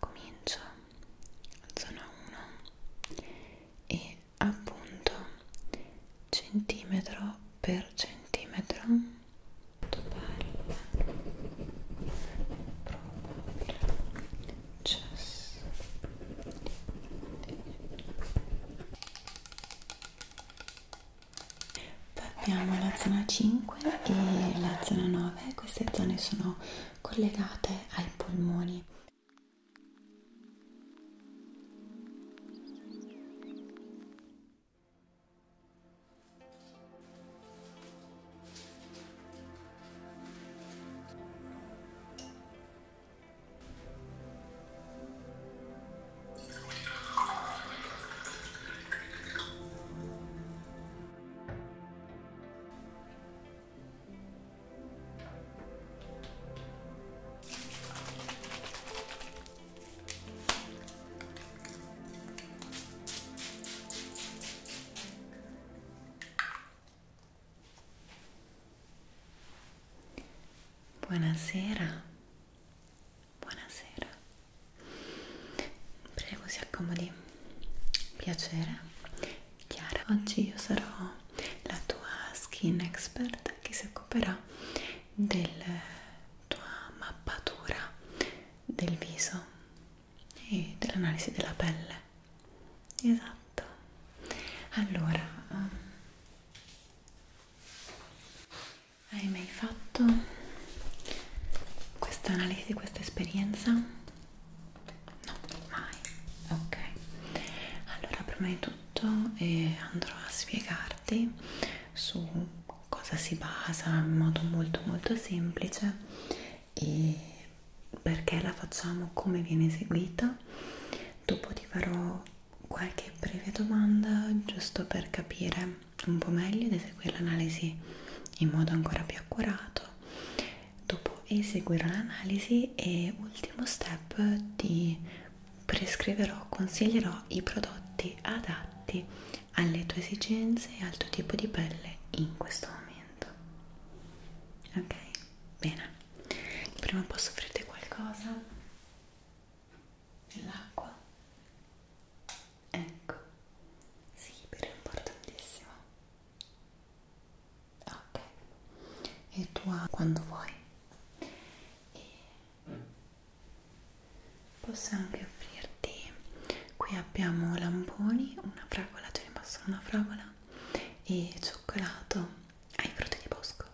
comincio zona 1 e appunto centimetro per centimetro probabile cesso poi abbiamo la zona 5 e la zona 9 queste zone sono collegate ai polmoni. Buonasera, buonasera, prego si accomodi. Piacere, Chiara. Oggi io sarò la tua skin expert che si occuperà della tua mappatura del viso e dell'analisi della pelle. Esatto. Allora, ehm, hai mai fatto questa analisi, questa esperienza? No, mai. Ok. Allora, prima di tutto eh, andrò a spiegarti su cosa si basa in modo molto molto semplice e perché la facciamo, come viene eseguita. Dopo ti farò qualche breve domanda giusto per capire un po' meglio ed eseguire l'analisi in modo ancora più accurato Dopo eseguirò l'analisi e ultimo step ti prescriverò, consiglierò i prodotti adatti alle tue esigenze e al tuo tipo di pelle in questo momento. Ok? Bene. Prima posso offrirti qualcosa? L'acqua? Ecco. Sì, però è importantissimo ok e tu quando vuoi e posso anche offrirti qui abbiamo lamponi una fragola ce ne passo una fragola e cioccolato ai frutti di bosco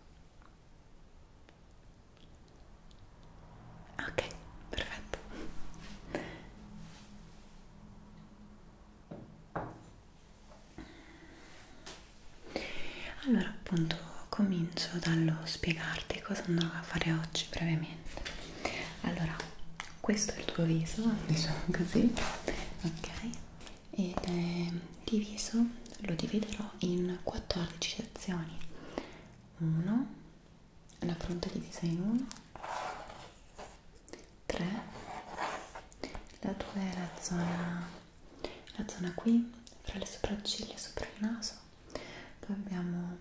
ok perfetto allora appunto comincio dallo spiegarti cosa andrò a fare oggi brevemente. Allora, questo è il tuo viso, diciamo così, ok? E eh, diviso lo dividerò in 14 sezioni. 1, la fronte divisa in 1, 3 la tua è la zona, la zona qui fra le sopracciglia sopra il naso poi abbiamo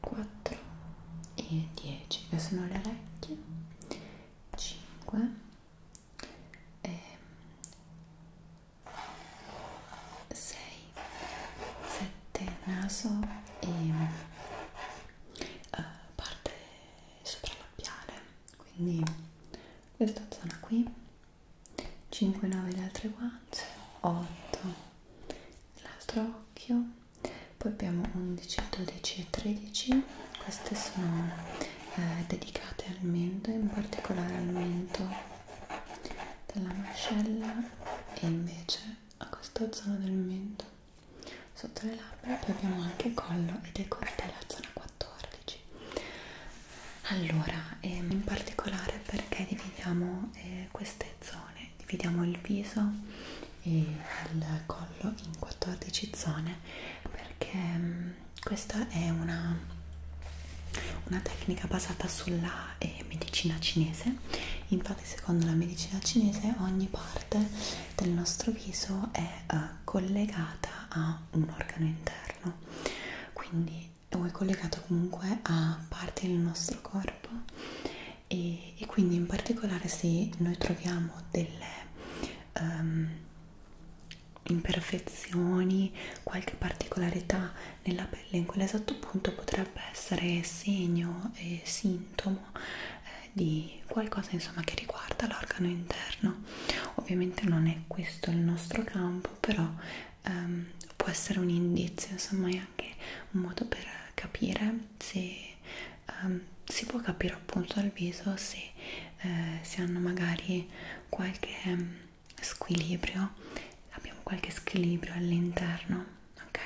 4 e 10 che sono le orecchie 5 e 6 7 naso e uh, parte sopralappiare quindi questa zona qui 5 9 le altre guance 8 l'altro occhio poi abbiamo 11 12 e 13 queste sono eh, dedicate al mento in particolare al mento della mascella e invece a questa zona del mento sotto le labbra poi abbiamo anche collo e decolte la zona 14 allora ehm, in particolare perché dividiamo eh, queste zone dividiamo il viso e il collo in 14 zone perché ehm, questa è una, una tecnica basata sulla eh, medicina cinese infatti secondo la medicina cinese ogni parte del nostro viso è uh, collegata a un organo interno, quindi o è collegata comunque a parti del nostro corpo e, e quindi in particolare se noi troviamo delle um, imperfezioni, qualche particolarità nella pelle in quell'esatto punto potrebbe essere segno e sintomo eh, di qualcosa insomma che riguarda l'organo interno ovviamente non è questo il nostro campo però ehm, può essere un indizio insomma è anche un modo per capire se ehm, si può capire appunto dal viso se, eh, se hanno magari qualche ehm, squilibrio abbiamo qualche squilibrio all'interno ok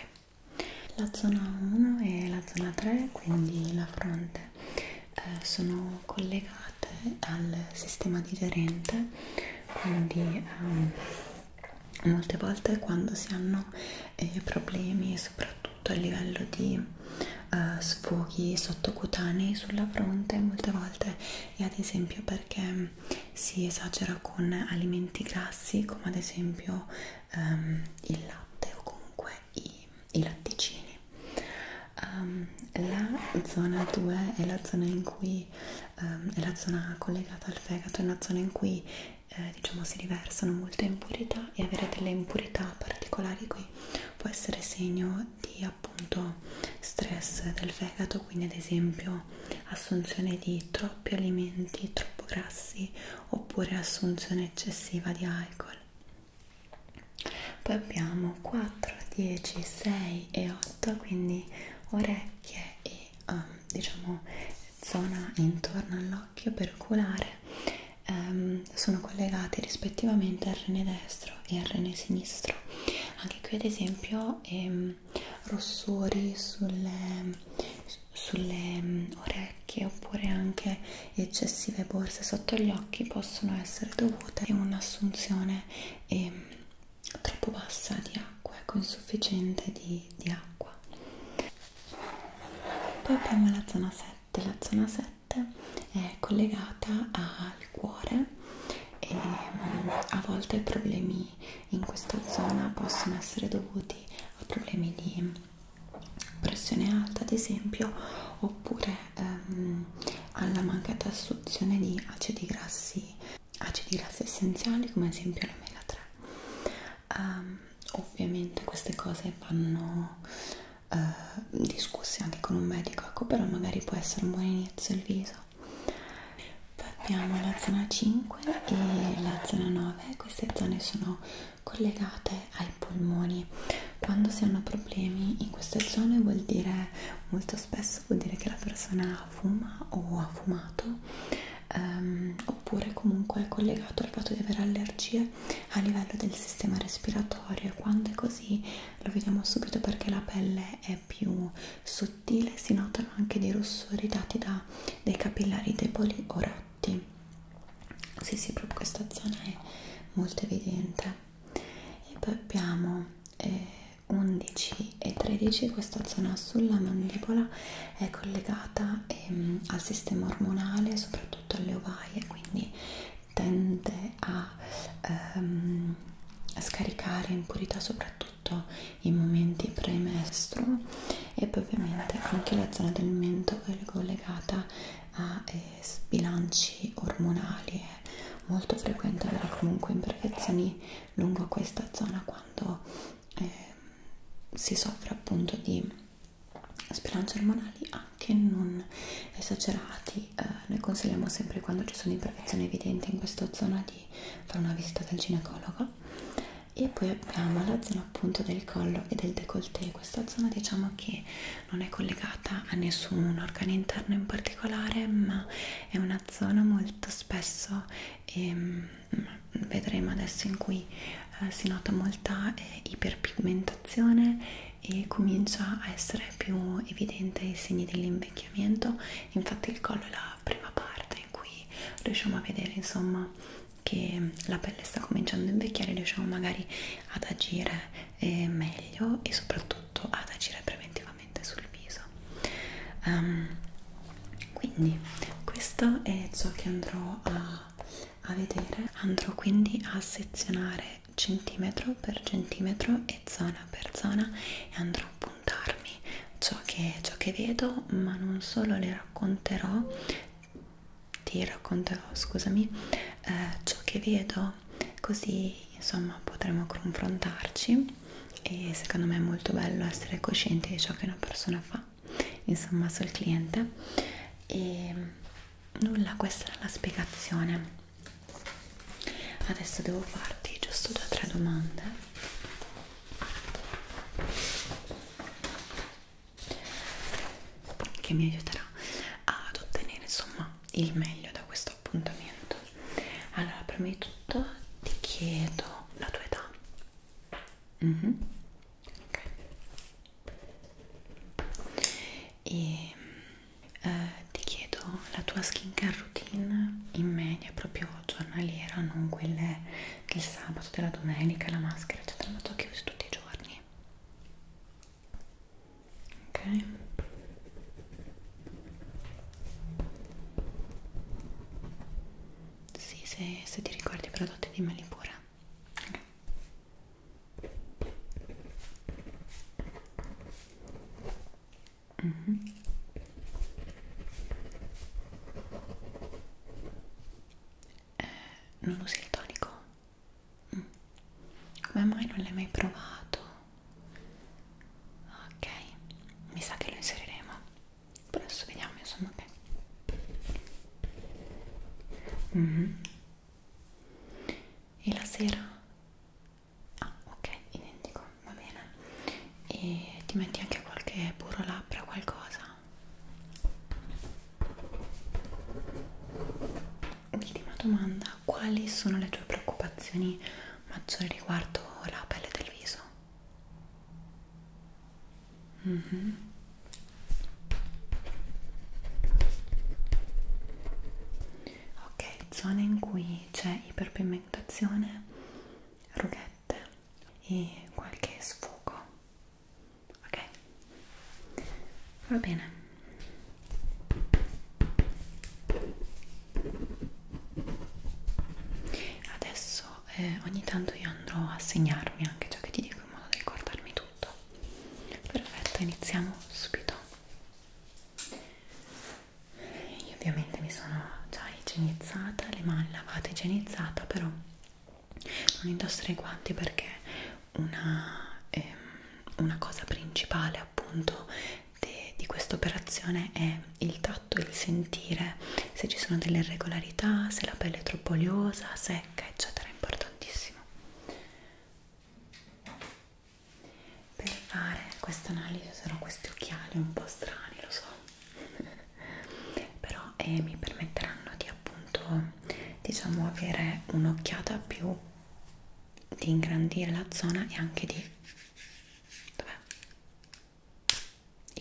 la zona 1 e la zona 3, quindi la fronte, eh, sono collegate al sistema digerente, quindi ehm, molte volte quando si hanno eh, problemi, soprattutto a livello di eh, sfoghi sottocutanei sulla fronte, molte volte è ad esempio perché si esagera con alimenti grassi come ad esempio ehm, il latte o comunque i i latticini. Um, la zona 2 è la zona in cui um, è la zona collegata al fegato, è una zona in cui eh, diciamo si riversano molte impurità e avere delle impurità particolari qui può essere segno di appunto stress del fegato, quindi ad esempio assunzione di troppi alimenti, troppo grassi oppure assunzione eccessiva di alcol poi abbiamo 4 10 6 e 8 quindi orecchie e um, diciamo zona intorno all'occhio perculare um, ehm, sono collegate rispettivamente al rene destro e al rene sinistro anche qui ad esempio ehm, rossori sulle, sulle, mm, ore, orecchie oppure anche eccessive borse sotto gli occhi possono essere dovute a un'assunzione eh, troppo bassa di acqua, ecco insufficiente di, di acqua. Poi abbiamo la zona 7, la zona 7 è collegata al cuore e ehm, a volte i problemi in questa zona possono essere dovuti a problemi di pressione alta ad esempio oppure ehm, alla mancata assunzione di acidi grassi acidi grassi essenziali come ad esempio la mela 3 um, ehm, ovviamente queste cose vanno uh, discusse anche con un medico ecco però magari può essere un buon inizio il viso poi abbiamo la zona 5 e la zona 9 queste zone sono collegate ai polmoni quando si hanno problemi in queste zone vuol dire molto spesso vuol dire che la persona fuma o ha fumato ehm, oppure comunque è collegato al fatto di avere allergie a livello del sistema respiratorio e quando è così lo vediamo subito perché la pelle è più sottile si notano anche dei rossori dati da dei capillari deboli o rotti infatti sì sì proprio questa zona è molto evidente e poi abbiamo eh, 11 e 13 questa zona sulla mandibola è collegata ehm, al sistema ormonale soprattutto alle ovaie quindi tende a, ehm, a scaricare impurità soprattutto in momenti premestro e poi ovviamente anche la zona del mento che è collegata a eh, sbilanci ormonali è molto frequente avere comunque imperfezioni lungo questa zona quando eh, si soffre appunto di sbilanci ormonali anche non esagerati eh, noi consigliamo sempre quando ci sono imperfezioni evidenti in questa zona di fare una visita del ginecologo e poi abbiamo la zona zona appunto del collo e del décolleté questa zona diciamo che non è collegata a nessun organo interno in particolare ma è una zona molto spesso ehm, vedremo adesso in cui eh, si nota molta eh, iperpigmentazione e comincia a essere più evidente i segni dell'invecchiamento infatti il collo è la prima parte in cui riusciamo a vedere insomma che la pelle sta cominciando a invecchiare riusciamo magari ad agire eh, meglio e soprattutto ad agire preventivamente sul viso um, quindi questo è ciò che andrò a, a vedere andrò quindi a sezionare centimetro per centimetro e zona per zona e andrò a puntarmi ciò che, ciò che vedo ma non solo le racconterò ti racconterò, scusami, eh, ciò che vedo, così insomma potremo confrontarci e secondo me è molto bello essere coscienti di ciò che una persona fa, insomma sul cliente e nulla, questa è la spiegazione. Adesso devo farti giusto due o tre domande che mi aiuterà ad ottenere insomma il meglio da questo appuntamento allora prima di tutto ti chiedo la tua età mm -hmm. okay. e eh, ti chiedo la tua skincare routine in media proprio giornaliera non quelle del sabato della domenica la maschera eccetera ma tu che usi tutti i giorni ok sì, se, se ti ricordi i prodotti dimmeli pure okay. mm -hmm. eh, non usi il tonico? Come mm. mai non l'hai mai provato? Ok, mi sa che lo inseriremo. Però adesso vediamo, insomma, che... Mm. E la sera? Ah, ok, identico, va bene. E ti metti anche qualche burro labbra, qualcosa? ultima domanda, quali sono le tue preoccupazioni maggiori riguardo la pelle del viso? Mm -hmm. Ok, zone in cui c'è iperpigmentazione, rughette e qualche sfogo ok va bene adesso eh, ogni tanto io andrò a segnarmi anche ciò che ti dico in modo da ricordarmi tutto perfetto iniziamo subito io ovviamente mi sono già igienizzata le mani lavate igienizzata però non indossare i guanti perché una, eh, una cosa principale appunto de, di questa operazione è il tatto, il sentire se ci sono delle irregolarità, se la pelle è troppo oliosa, secca, eccetera, è importantissimo. Per fare questa analisi userò questi occhiali un po' strani, lo so, però eh, mi permetteranno di appunto diciamo avere un'occhiata più di ingrandire la zona e anche di dov'è?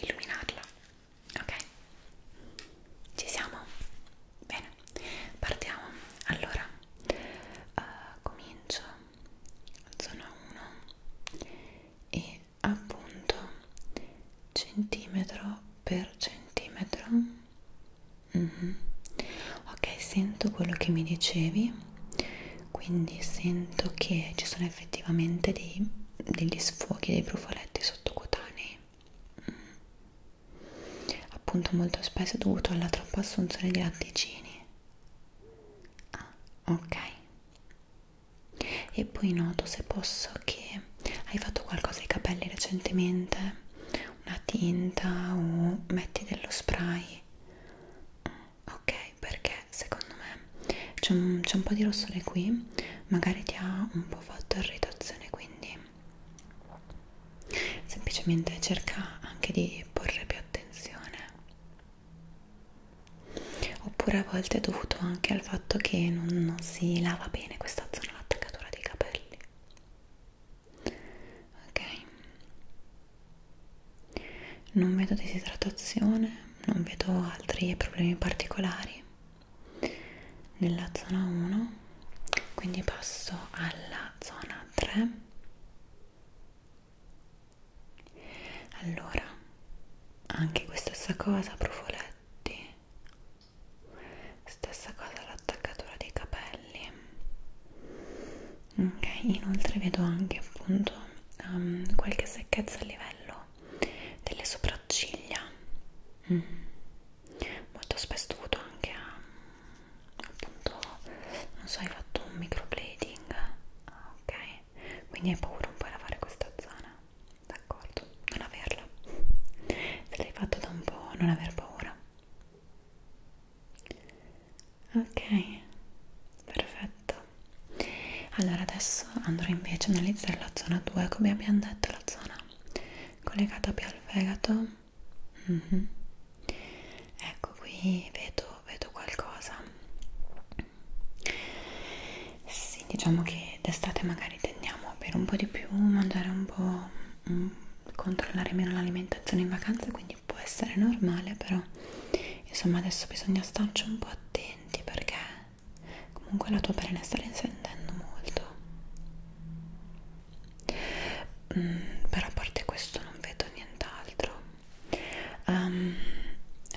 illuminarla ok ci siamo bene partiamo allora uh, comincio zona 1 e appunto centimetro per centimetro Mm -hmm. Ok, sento quello che mi dicevi, quindi sento che ci sono effettivamente dei, degli sfoghi, dei brufoletti sottocutanei. Mm. Appunto, molto spesso è dovuto alla troppa assunzione di latticini. Ah, ok. E poi noto se posso che hai fatto qualcosa ai capelli recentemente una tinta o metti dello spray mm, ok perché secondo me c'è un, un po' di rossore qui magari ti ha un po' fatto irritazione quindi semplicemente cerca anche di porre più attenzione oppure a volte è dovuto anche al fatto che non, non si lava bene questa zona l'attaccatura dei capelli ok non vedo disidratazione non vedo altri problemi particolari nella zona 1 quindi passo alla zona 3 allora anche questa stessa cosa profoletti stessa cosa l'attaccatura dei capelli ok inoltre vedo anche appunto um, qualche secchezza a livello delle sopracciglia mm. molto spesso dovuto anche a ehm, appunto non so hai fatto un microblading ah, ok quindi hai paura un po' a lavare questa zona d'accordo non averla se l'hai fatto da un po' non aver paura ok perfetto allora adesso andrò invece a analizzare la zona 2 come abbiamo detto la zona collegata più al fegato mm -hmm. ecco qui vedo, vedo qualcosa sì diciamo che d'estate magari tendiamo per un po' di più mangiare un po' mh, mm, controllare meno l'alimentazione in vacanza quindi può essere normale però insomma adesso bisogna starci un po' attenti perché comunque la tua pelle sta risentendo molto mm, però a parte questo non vedo nient'altro um,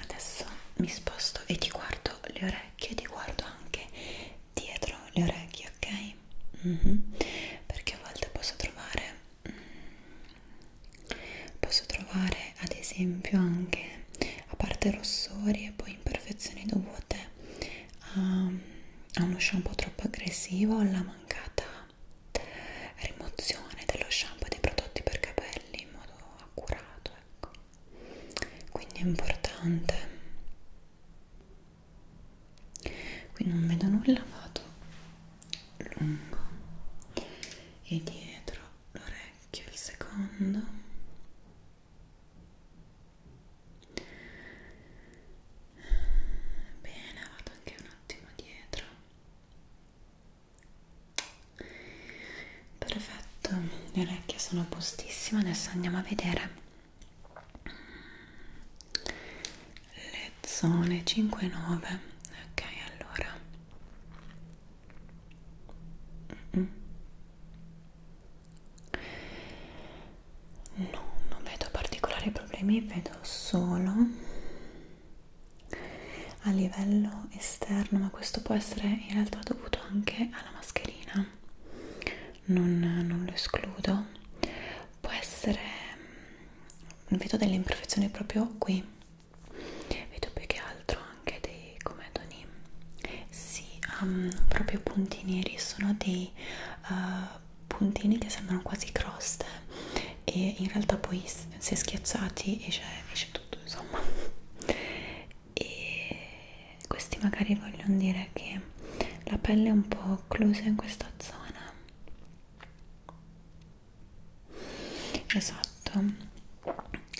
adesso mi sposto e ti guardo le orecchie ti guardo anche dietro le orecchie, ok? Mm -hmm. Perché a volte posso trovare, mm, posso trovare ad esempio anche a parte rossori e poi imperfezioni dovute a, a uno shampoo troppo aggressivo, alla mancata rimozione dello shampoo e dei prodotti per capelli in modo accurato, ecco. Quindi è importante qui non vedo nulla vado lungo e dietro l'orecchio il secondo bene vado anche un attimo dietro perfetto le orecchie sono postissime adesso andiamo a vedere le zone 5 9 ok allora mm -mm. no non vedo particolari problemi vedo solo a livello esterno ma questo può essere in realtà dovuto anche alla mascherina non, non lo escludo può essere mm, vedo delle imperfezioni proprio qui vedo più che altro anche dei comedoni sì, um, proprio puntini neri sono dei uh, puntini che sembrano quasi croste e in realtà poi se schiacciati esce, esce tutto insomma e questi magari vogliono dire che la pelle è un po' occlusa in questa zona esatto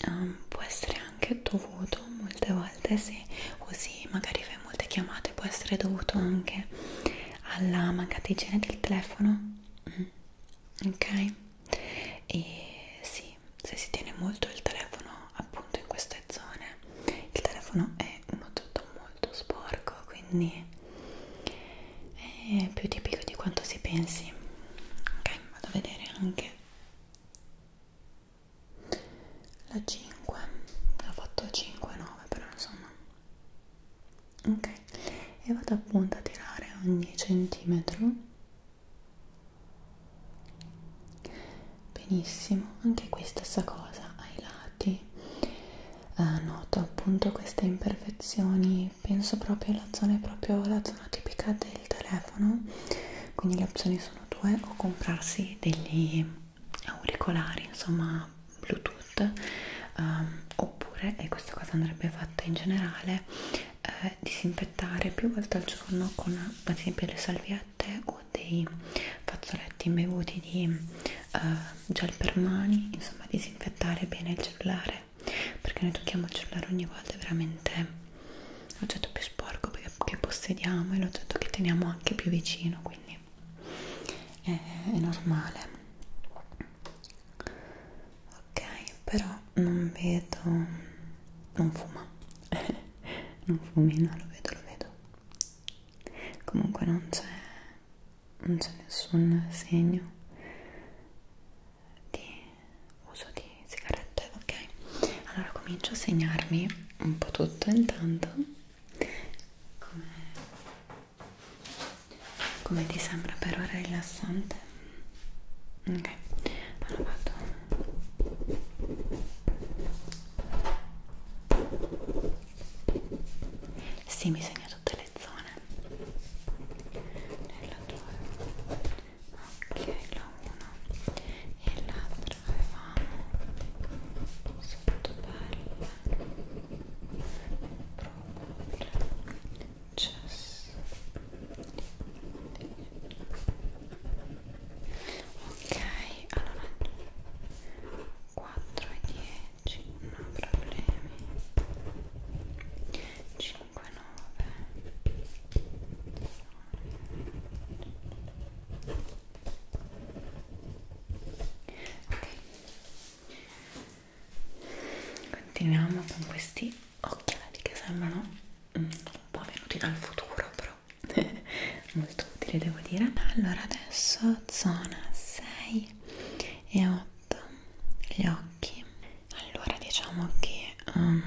um, può essere anche dovuto molte volte se così magari fai molte chiamate può essere dovuto anche alla mancata igiene del telefono mm. ok e sì se si tiene molto il telefono appunto in queste zone il telefono è un oggetto molto molto sporco quindi è più tipico di quanto si pensi ok vado a vedere anche la 5 ho fatto 5 9 però insomma ok e vado appunto a tirare ogni centimetro benissimo anche qui stessa cosa ai lati eh, noto appunto queste imperfezioni penso proprio alla zona è proprio la zona tipica del telefono quindi le opzioni sono due o comprarsi degli auricolari insomma bluetooth um, oppure e questa cosa andrebbe fatta in generale eh, disinfettare più volte al giorno con ad esempio le salviette o dei fazzoletti imbevuti di eh, gel per mani, insomma disinfettare bene il cellulare perché noi tocchiamo il cellulare ogni volta è veramente l'oggetto più sporco che possediamo e l'oggetto che teniamo anche più vicino quindi è, è normale ok però non vedo non fuma non fumi no lo vedo lo vedo comunque non c'è non c'è nessun segno di uso di sigarette ok allora comincio a segnarmi un po' tutto intanto come, come ti sembra per ora rilassante ok allora vado Vado sì, mi segna tutte le zone nella tua ok, la 1 e l'altra avevamo sotto pelle proprio chess ok, allora 4 e 10 10, non problemi 5, 9 ok continuiamo con questi occhiali che sembrano un po' venuti dal futuro però molto molto utile devo dire allora adesso zona 6 e 8 gli occhi allora diciamo che um,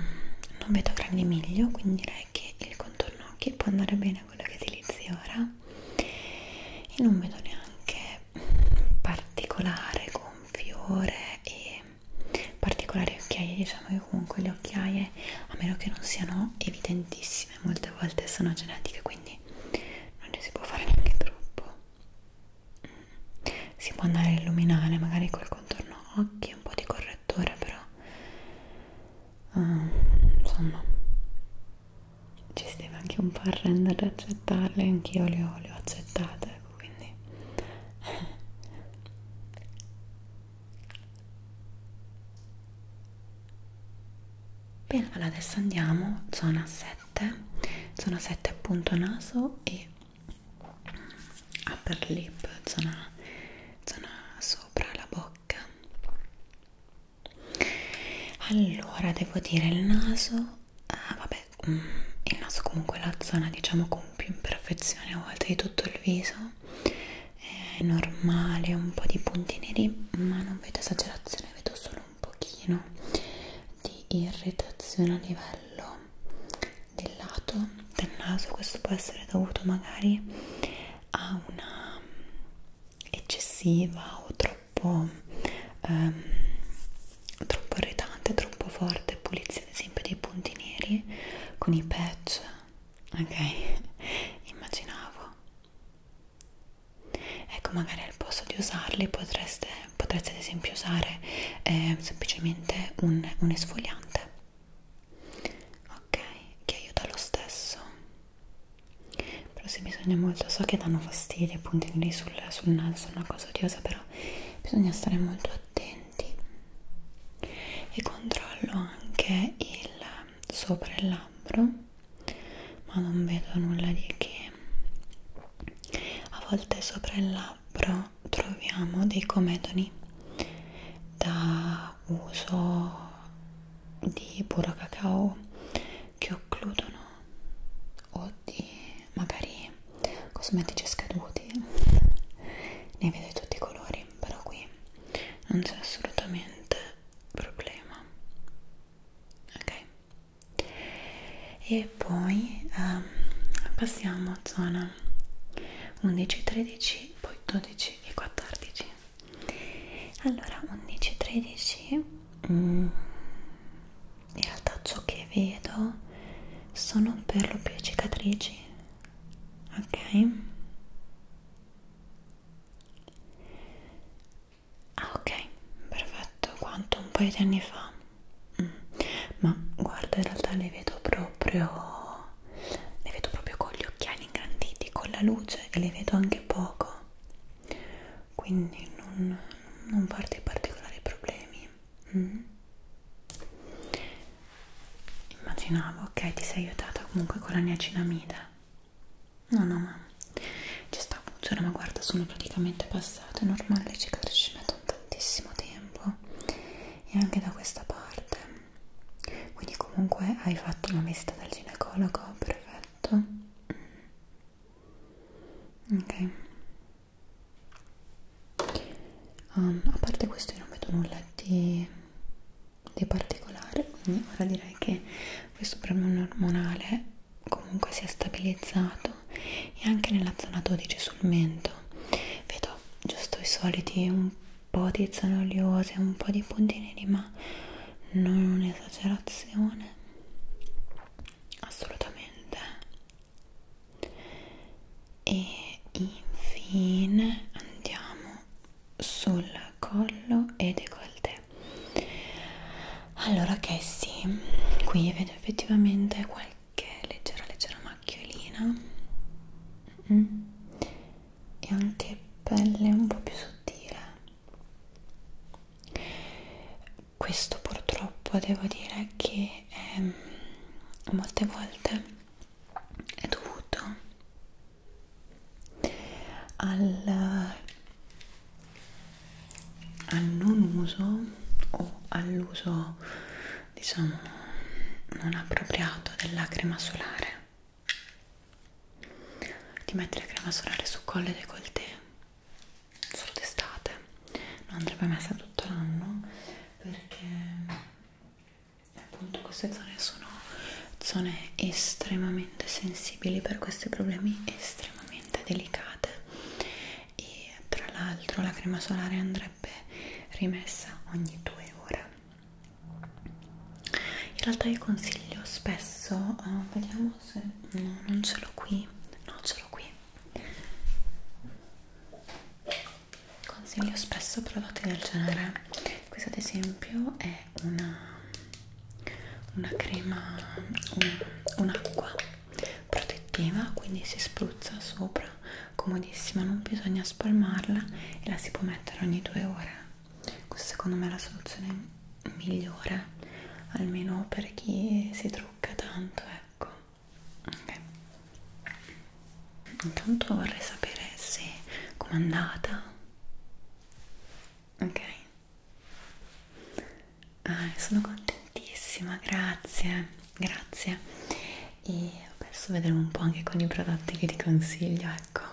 non vedo grandi miglio quindi direi che il contorno occhi può andare bene quello che utilizzi ora e non vedo neanche particolare gonfiore e particolari occhiaie diciamo che comunque le occhiaie a meno che non siano evidentissime tantissime, molte volte sono genetiche, quindi non ne si può fare neanche troppo. Mm. Si può andare a illuminare magari col contorno occhi, un po' di correttore, però uh, insomma ci si deve anche un po' arrendere ad accettarle, anch'io le ho, le ho accettate, quindi Bene, allora adesso andiamo zona 7, zona 7 appunto naso e upper lip, zona, zona sopra la bocca. Allora devo dire il naso, ah, vabbè, mm, il naso comunque è la zona diciamo con più imperfezione a volte di tutto il viso, è normale, un po' di punti neri, ma non vedo esagerazione, vedo solo un pochino di irritazione a livello del lato del naso questo può essere dovuto magari a una eccessiva o troppo ehm, troppo irritante troppo forte pulizia ad esempio dei punti neri con i patch ok immaginavo ecco magari al posto di usarli potreste, potreste ad esempio usare eh, semplicemente un, un esfoliante ok che aiuta lo stesso però se bisogna molto so che danno fastidio i puntini sul, sul naso sono una cosa odiosa però bisogna stare molto attenti e controllo anche il sopra il labbro ma non vedo nulla di che a volte sopra il labbro troviamo dei comedoni da uso di puro cacao che occludono o di magari cosmetici scaduti ne vedo di tutti i colori però qui non c'è assolutamente problema ok e poi um, passiamo a zona 11 13 poi 12 e 14 allora 11 13 mm, in realtà ciò che vedo sono per lo più cicatrici ok Ah ok, perfetto, quanto un paio di anni fa. Mm. Ma guarda, in realtà le vedo proprio le vedo proprio con gli occhiali ingranditi, con la luce e le vedo anche poco. Quindi non, non farti particolari problemi. Mm. Immaginavo, ok, ti sei aiutata comunque con la niacinamide no no ma ci sta funziona ma guarda sono praticamente passate è normale le cicatrici mettono tantissimo tempo e anche da questa parte quindi comunque hai fatto una visita dal ginecologo perfetto ok um, a parte questo io non vedo nulla di, di particolare quindi ora direi che questo problema ormonale comunque si è stabilizzato e anche nella zona 12 sul mento vedo giusto i soliti un po' di zone oliose un po' di punti neri ma non un'esagerazione assolutamente e infine andiamo sul collo e decolleté allora che sì qui vedo effettivamente qualche leggera leggera macchiolina mm. e anche pelle un po' più sottile questo purtroppo devo dire che è, ehm, molte volte è dovuto al al non uso o all'uso diciamo non appropriato della crema solare ti metti la crema solare sul collo e décolleté solo d'estate non andrebbe messa tutto l'anno perché appunto queste zone sono zone estremamente sensibili per questi problemi estremamente estremamente delicate e tra l'altro la crema solare andrebbe rimessa ogni due ore in realtà io consiglio spesso oh, vediamo se no, non ce l'ho qui no ce l'ho qui consiglio spesso prodotti del genere questo ad esempio è una una crema, un'acqua un protettiva, quindi si spruzza sopra, comodissima, non bisogna spalmarla e la si può mettere ogni due ore. Questa secondo me è la soluzione migliore, almeno per chi si trucca tanto, ecco. Okay. Intanto vorrei sapere se com'è andata. Ok. Ah, sono contentissima, grazie, grazie. E adesso vedremo un po' anche con i prodotti che ti consiglio, ecco.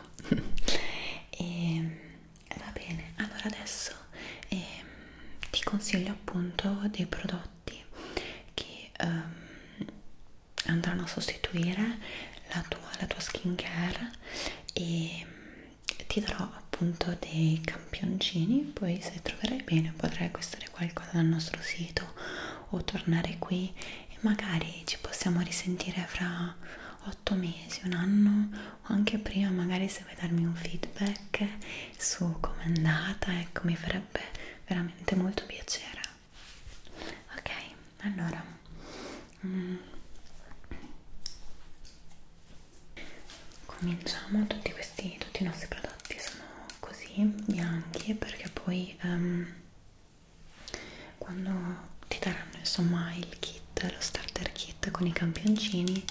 e eh, va bene, allora adesso eh, ti consiglio appunto dei prodotti che ehm, andranno a sostituire la tua, la tua skin care e ti darò appunto dei campioncini poi se troverai bene potrai acquistare qualcosa dal nostro sito o tornare qui e magari ci possiamo risentire fra 8 mesi, un anno o anche prima magari se vuoi darmi un feedback su com'è andata ecco mi farebbe veramente molto piacere ok allora mm cominciamo tutti questi tutti i nostri prodotti sono così bianchi perché poi um, quando ti daranno insomma il kit lo starter kit con i campioncini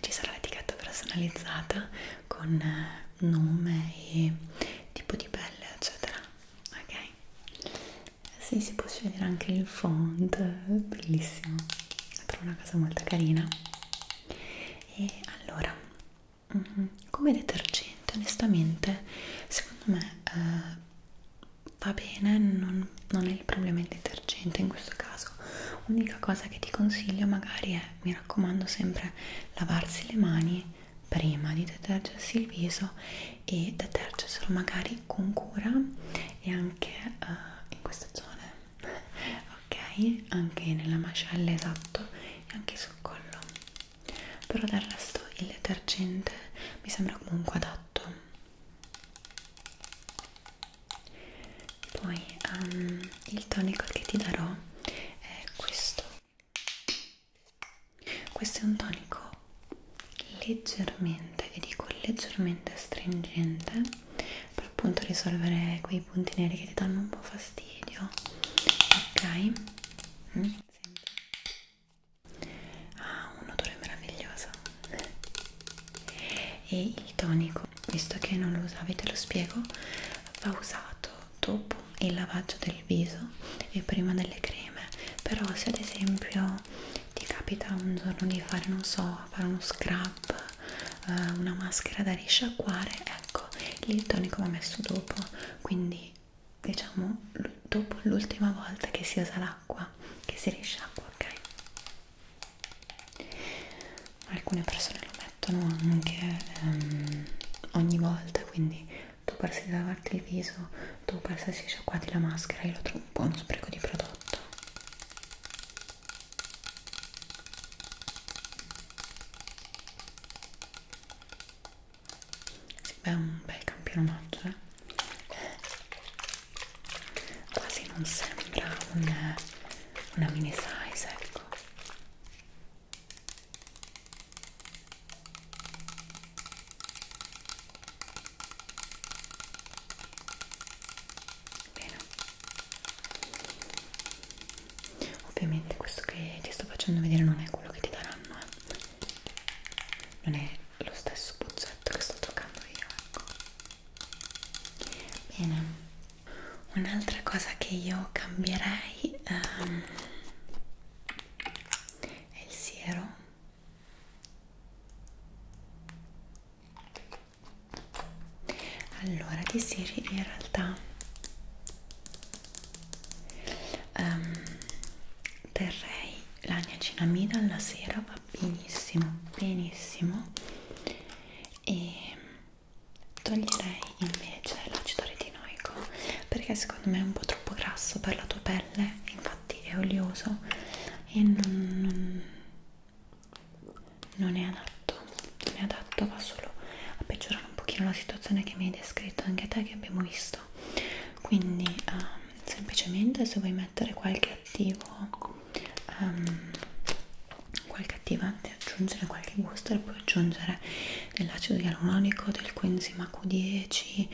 ci sarà l'etichetta personalizzata con eh, nome e tipo di pelle eccetera ok eh sì, si può scegliere anche il font bellissimo però una casa molto carina e allora mm-hmm, come detergente onestamente secondo me eh, va bene non, non è il problema il detergente in questo caso l'unica cosa che ti consiglio magari è mi raccomando sempre lavarsi le mani prima di detergersi il viso e detergerselo magari con cura e anche eh, in queste zone ok anche nella mascella esatto e anche sul collo però del resto il detergente mi sembra comunque adatto poi um, il tonico che ti darò è questo questo è un tonico leggermente e dico leggermente stringente per appunto risolvere quei punti neri che ti danno un po' fastidio ok mm, senti. ah un odore meraviglioso e il tonico visto che non lo usavi te lo spiego va usato dopo il lavaggio del viso e prima delle creme però se ad esempio ti capita un giorno di fare non so fare uno scrub uh, una maschera da risciacquare ecco il tonico va messo dopo quindi diciamo dopo l'ultima volta che si usa l'acqua che si risciacqua ok alcune persone lo mettono anche um, ogni volta quindi tu persi lavarti il viso tu persi sciacquati la maschera io lo trovo un po' uno spreco di prodotto sì, beh, è un bel campionato, eh? Quasi non sembra un, una mini size, ecco. Bene. Ovviamente questo che ti sto facendo vedere non è quello che ti daranno, eh. non è lo stesso bozzetto che sto toccando io, ecco. Bene. Un'altra cosa che io cambierei um, è il siero allora di serie in realtà um, terrei la niacinamida alla sera va benissimo benissimo e toglierei invece l'acido retinoico perché secondo me è un po' troppo grasso per la tua pelle infatti è olioso e non, non non è adatto, non è adatto, va solo a peggiorare un pochino la situazione che mi hai descritto anche te che abbiamo visto quindi um, semplicemente se vuoi mettere qualche attivo um, qualche attivante aggiungere qualche gusto e puoi aggiungere dell'acido ialuronico del coenzima Q10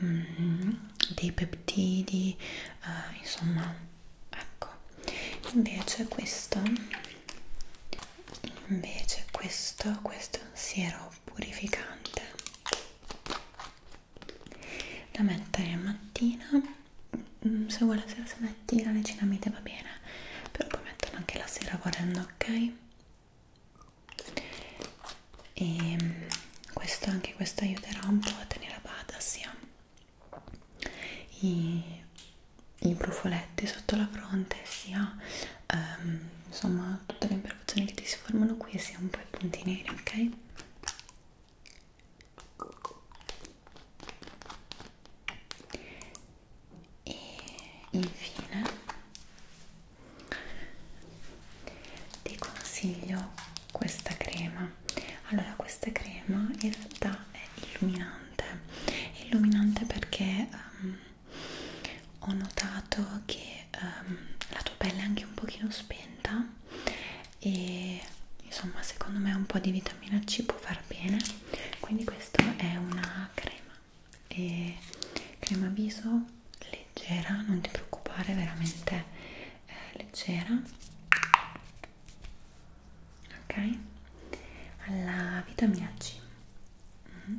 um, ehm, dei peptidi uh, insomma ecco invece questo invece questo questo è un siero purificante da mettere mattina mm, se vuole la sera se metti la lecinamide va bene però poi mettono anche la sera volendo ok e ehm, questo anche questo aiuterà un po' a tenere a bada sia i, i brufoletti sotto la fronte sia ehm, insomma tutte le imperfezioni che ti si formano qui e sia un po' i punti neri ok e infine ti consiglio questa crema allora questa crema in realtà è illuminante è illuminante perché um, ho notato che um, la tua pelle è anche un pochino spenta e insomma secondo me un po' di vitamina C può far bene quindi questa è una crema e crema viso leggera non ti preoccupare veramente eh, leggera ok alla vitamina C mm -hmm.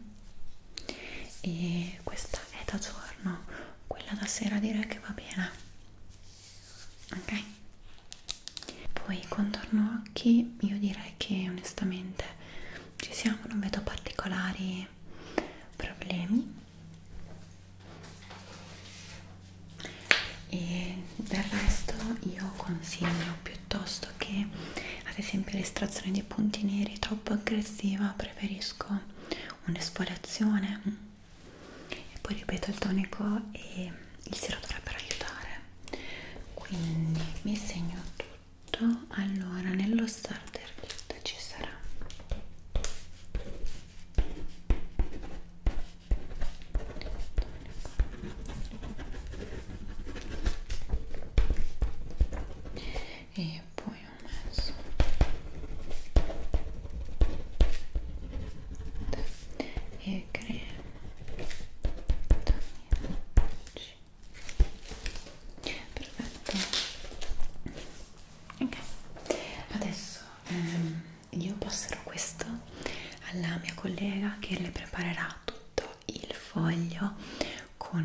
e questa è da giorno quella da sera direi che va bene ok poi contorno occhi io direi che onestamente ci siamo non vedo particolari problemi e del resto io consiglio piuttosto che ad esempio l'estrazione di punti neri troppo aggressiva preferisco un'esfoliazione e poi ripeto il tonico e il siero dovrebbero aiutare quindi mi segno tutto allora nello starter kit ci sarà e poi ho messo e crema perfetto ok adesso ehm, io passerò questo alla mia collega che le preparerà tutto il foglio con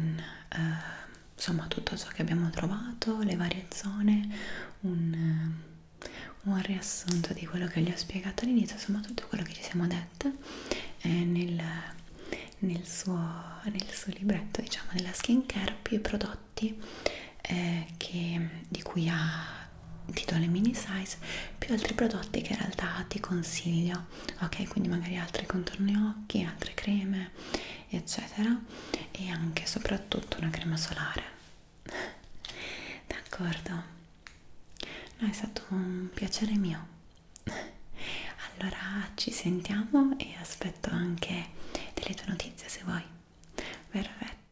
eh, insomma tutto ciò che abbiamo trovato, le varie zone, un, eh, un riassunto di quello che gli ho spiegato all'inizio, insomma tutto quello che ci siamo dette eh, nel, nel, suo, nel suo libretto, diciamo, della skincare più i prodotti eh, che, di cui ha ti do le mini size più altri prodotti che in realtà ti consiglio ok quindi magari altri contorni occhi altre creme eccetera e anche soprattutto una crema solare d'accordo no è stato un piacere mio allora ci sentiamo e aspetto anche delle tue notizie se vuoi perfetto